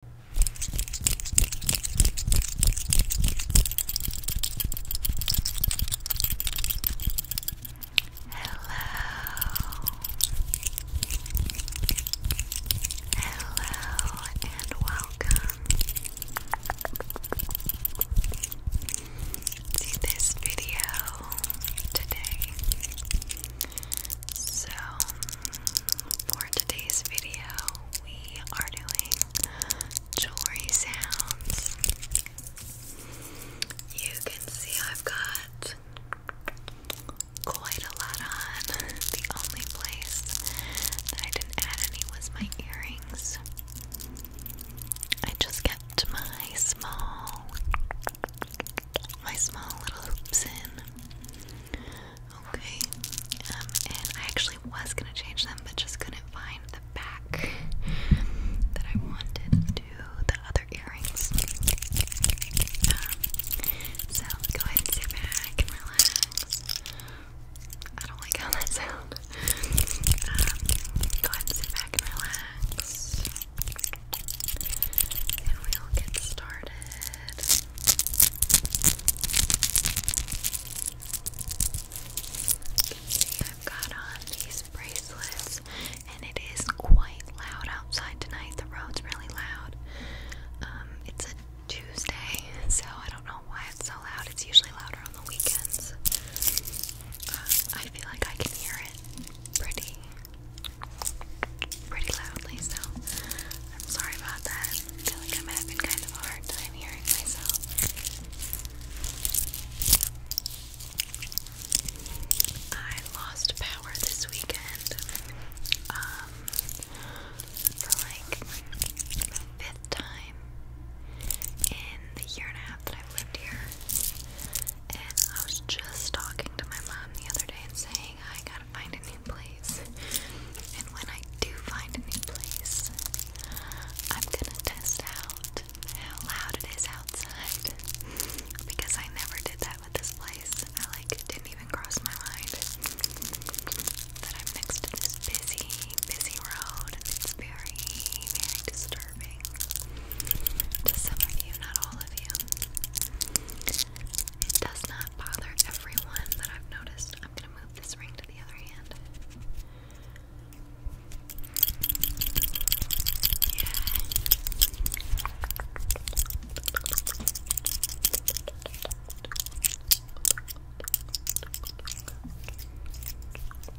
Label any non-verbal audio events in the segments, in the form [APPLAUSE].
Hello and welcome to this video today. So, for today's video, we are doing jewelry sounds. You can see I've got quite a lot on. The only place that I didn't add any was my earrings. I just kept my small, my small little hoops in. Okay. Um, and I actually was gonna change them, but just couldn't find the back that I wanted to the other earrings. Um, so go ahead and sit back and relax. I don't like how that sounds. Um, go ahead and sit back and relax. And we'll get started see I've got on these bracelets and it is quite loud outside tonight. The road's really loud. Um, it's a Tuesday, so I don't know why it's so loud. It's usually louder on the weekends. Uh, I feel like I can hear it pretty pretty loudly, so I'm sorry about that. feel like I'm having kind of a hard time hearing myself. I lost power this weekend. Um, for like fifth time in the year and a half that I've lived here. And I was just talking to my mom the other day and saying I got find a new place. And when I do find a new place, I'm gonna test out how loud it is outside. Because I never did that with this place. I like didn't even cross my mind that I'm next to this busy, busy road and it's very, very disturbing. To some of you, not all of you. It does not bother everyone that I've noticed. I'm going to move this ring to the other hand.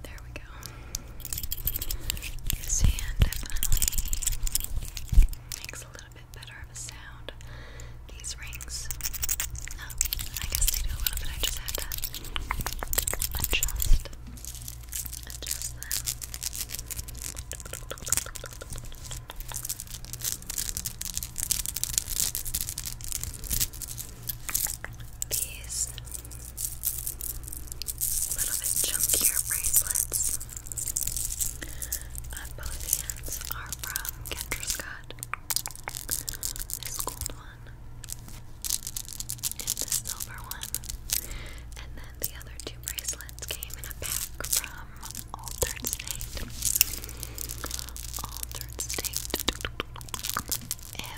There we go. Sand definitely makes a little got a bit better of a sound. These rings, um, I guess they do a little I just had to adjust, adjust them. These little bit chunkier bracelets. Uh, both hands are from Kendra Scott. This gold one and this silver one. And then the other two bracelets came in a pack from Altered State. Altered State. If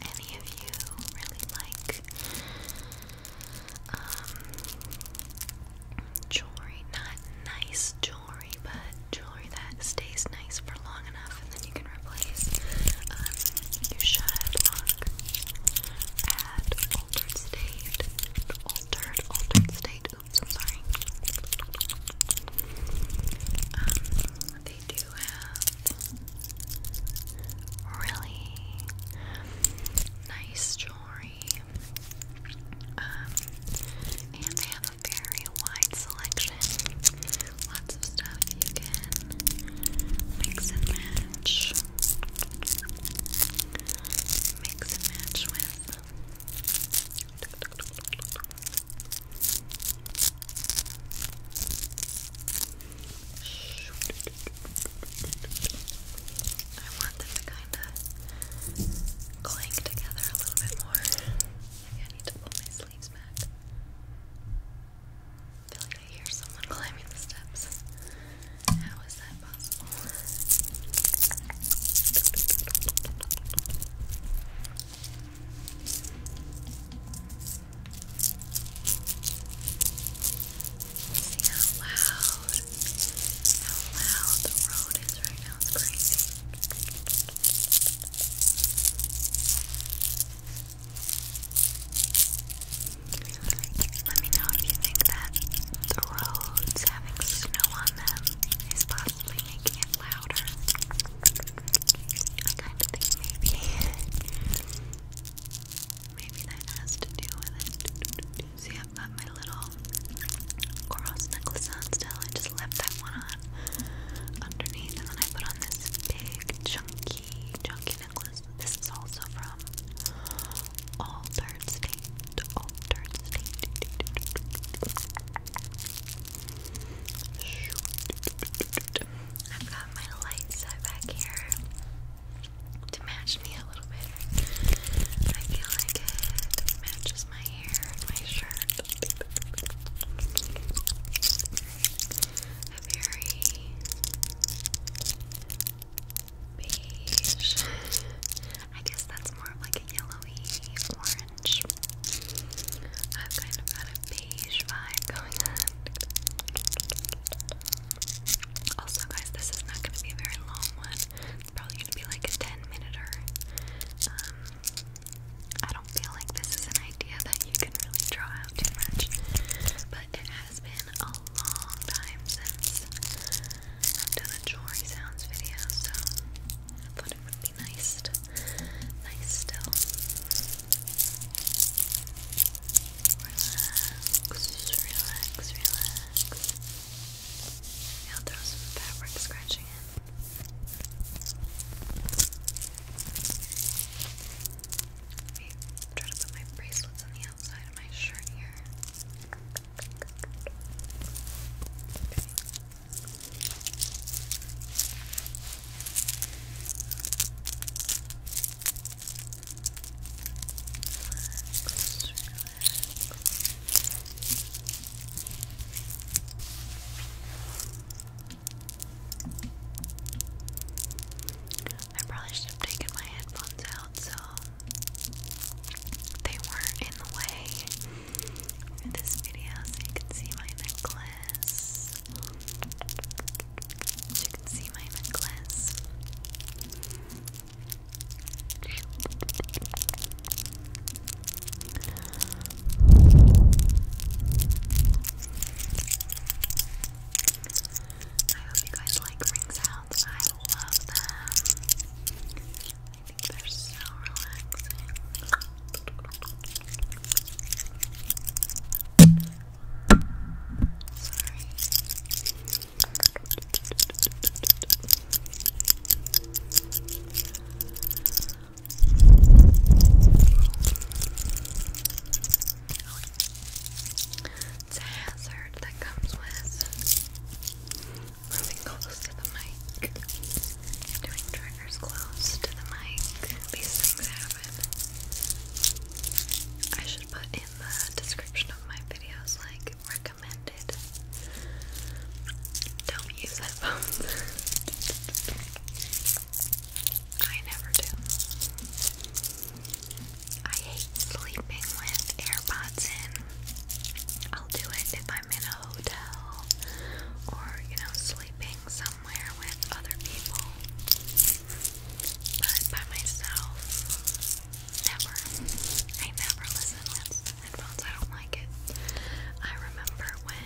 any of you really like um, jewelry, not nice jewelry, but jewelry that stays nice for long enough and then you can replace. Um, you should look at altered state, altered, altered state, I'm sorry. Um, they do have really nice jewelry um, and they have a very wide selection. Lots of stuff you can mix and match. Mix and match with. I want them to kind of cling together a little bit more. I need to pull my sleeves back. I feel like I hear someone climbing the steps. How is that possible? See how loud, how loud the road is right now. It's crazy. Let me know if you think that the roads having snow on them is possibly making it louder. I kind of think maybe. Maybe that has to do with it. See how I've got my little cross necklace on still. I just left that one on underneath, and then I put on this big, chunky, chunky necklace. This is also from Altered State. Altered State. I've got my light back here to match me a little bit. I feel like it matches my hair my shirt. A very beige. I guess that's more of like a yellowy orange. I've kind of got a beige vibe going on. Also, guys, this is not going to be a very long one. It's probably gonna be like a 10 minute or um, I don't feel like this is an idea that you can really draw out too much. But it has been a long time since I've done a jewelry sounds video, so I thought it would be nice to nice still. Relax, relax, relax. I'll throw some fabric scratching in. try to put my bracelets on the outside of my shirt here. I probably should have taken my headphones out so they weren't in the way for this video so you can see my necklace. you can see my necklace. I hope you guys like ring sounds. I love them. I think they're so relaxing. Sorry. It's a hazard that comes with moving close to the mic, doing triggers close to the mic. These things happen. I should put in the description of my videos like don't use headphones. [LAUGHS] I never do. I hate sleeping with AirPods in. I'll do it if I'm in a hotel or, you know, sleeping somewhere with other people. But by myself, Never. I never listen with headphones. I don't like it. I remember when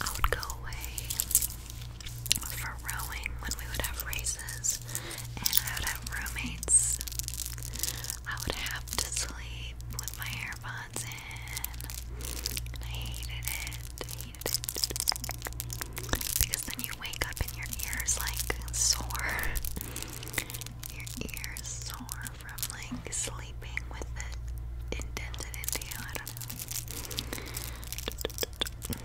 I would go away for rowing when we would have races and I would have roommates. I would have to sleep with my AirPods in. And I hated it. hated it. Because then you wake up in your ears like sore. your ears sore from like sleeping with it indented into I don't know.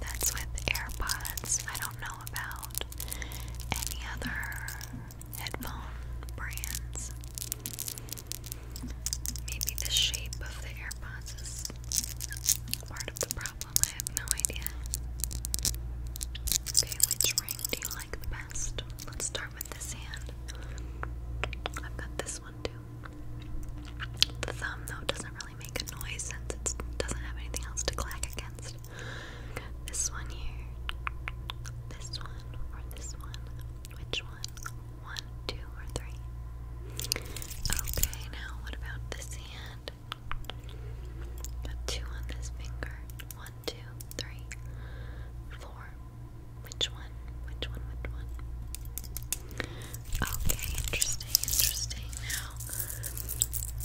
That's with AirPods. I don't know about any other headphone brands. Maybe the shape of the AirPods is part of the problem. Okay, which ring do you like the best? Let's start with this hand. I've got this one too. The thumb, though, doesn't really make a noise since it doesn't have anything else to clack against. this one here, this one, or this one. Which one? One, two, or three? Okay, now what about this hand? Got two on this finger. One, two, three, four. Which one? Which one? Which one? Okay, interesting, interesting. Now,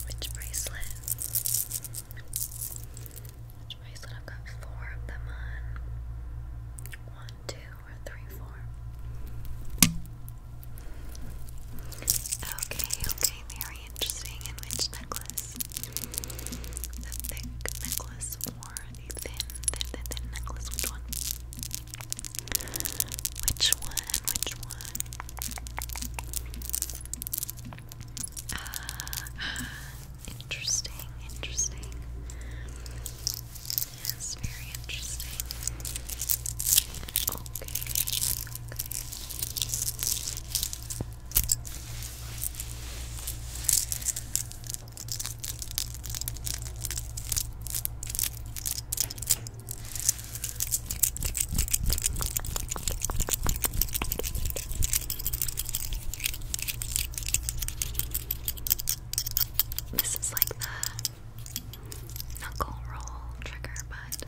which bracelet? Which bracelet? I've got four of them on. One, two, or three, four. Okay, okay, very interesting. which necklace? The thick necklace or the thin, thin, thin, necklace? Which one? Which one? Which one? ah interesting, interesting. Yes, very interesting. This is like the knuckle roll trigger, but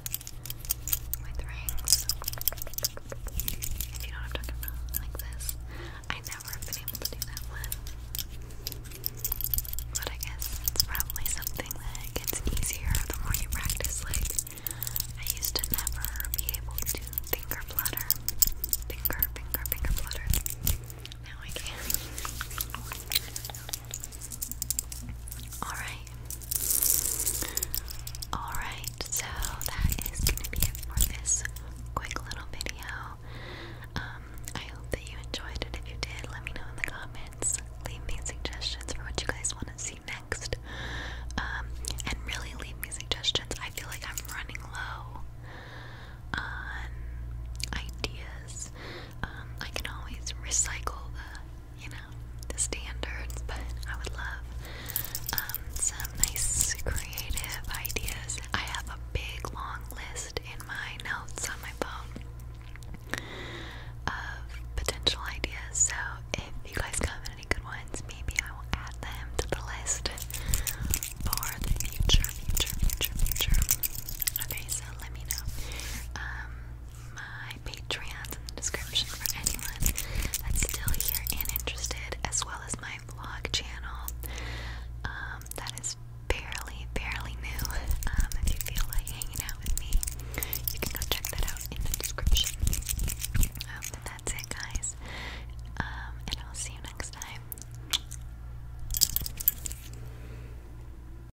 with rings. If you know what I'm talking like this. I never been able to do that one. But I guess it's probably something that gets easier the more you practice. Like, I used to never be able to finger flutter. Finger, finger, finger flutter. Now I can. Alright. Alright, so that is gonna be it for this quick little video. Um, I hope that you enjoyed it. If you did, let me know in the comments. Leave me suggestions for what you guys want to see next. Um, and really leave me suggestions. I feel like I'm running low on ideas. Um, I can always recycle you know, the standards, but I would love um, some nice creative ideas. I have a big long list in my notes on my phone of potential ideas, so if you guys come in any good ones, maybe I will add them to the list for the future, future, future, future. Okay, so let me know. Um, my Patreons in the description for anyone that's still here and interested, as well as my vlog channel um, that is barely, barely new. Um, if you feel like hanging out with me, you can go check that out in the description. Um, but that's it, guys. Um, and I'll see you next time.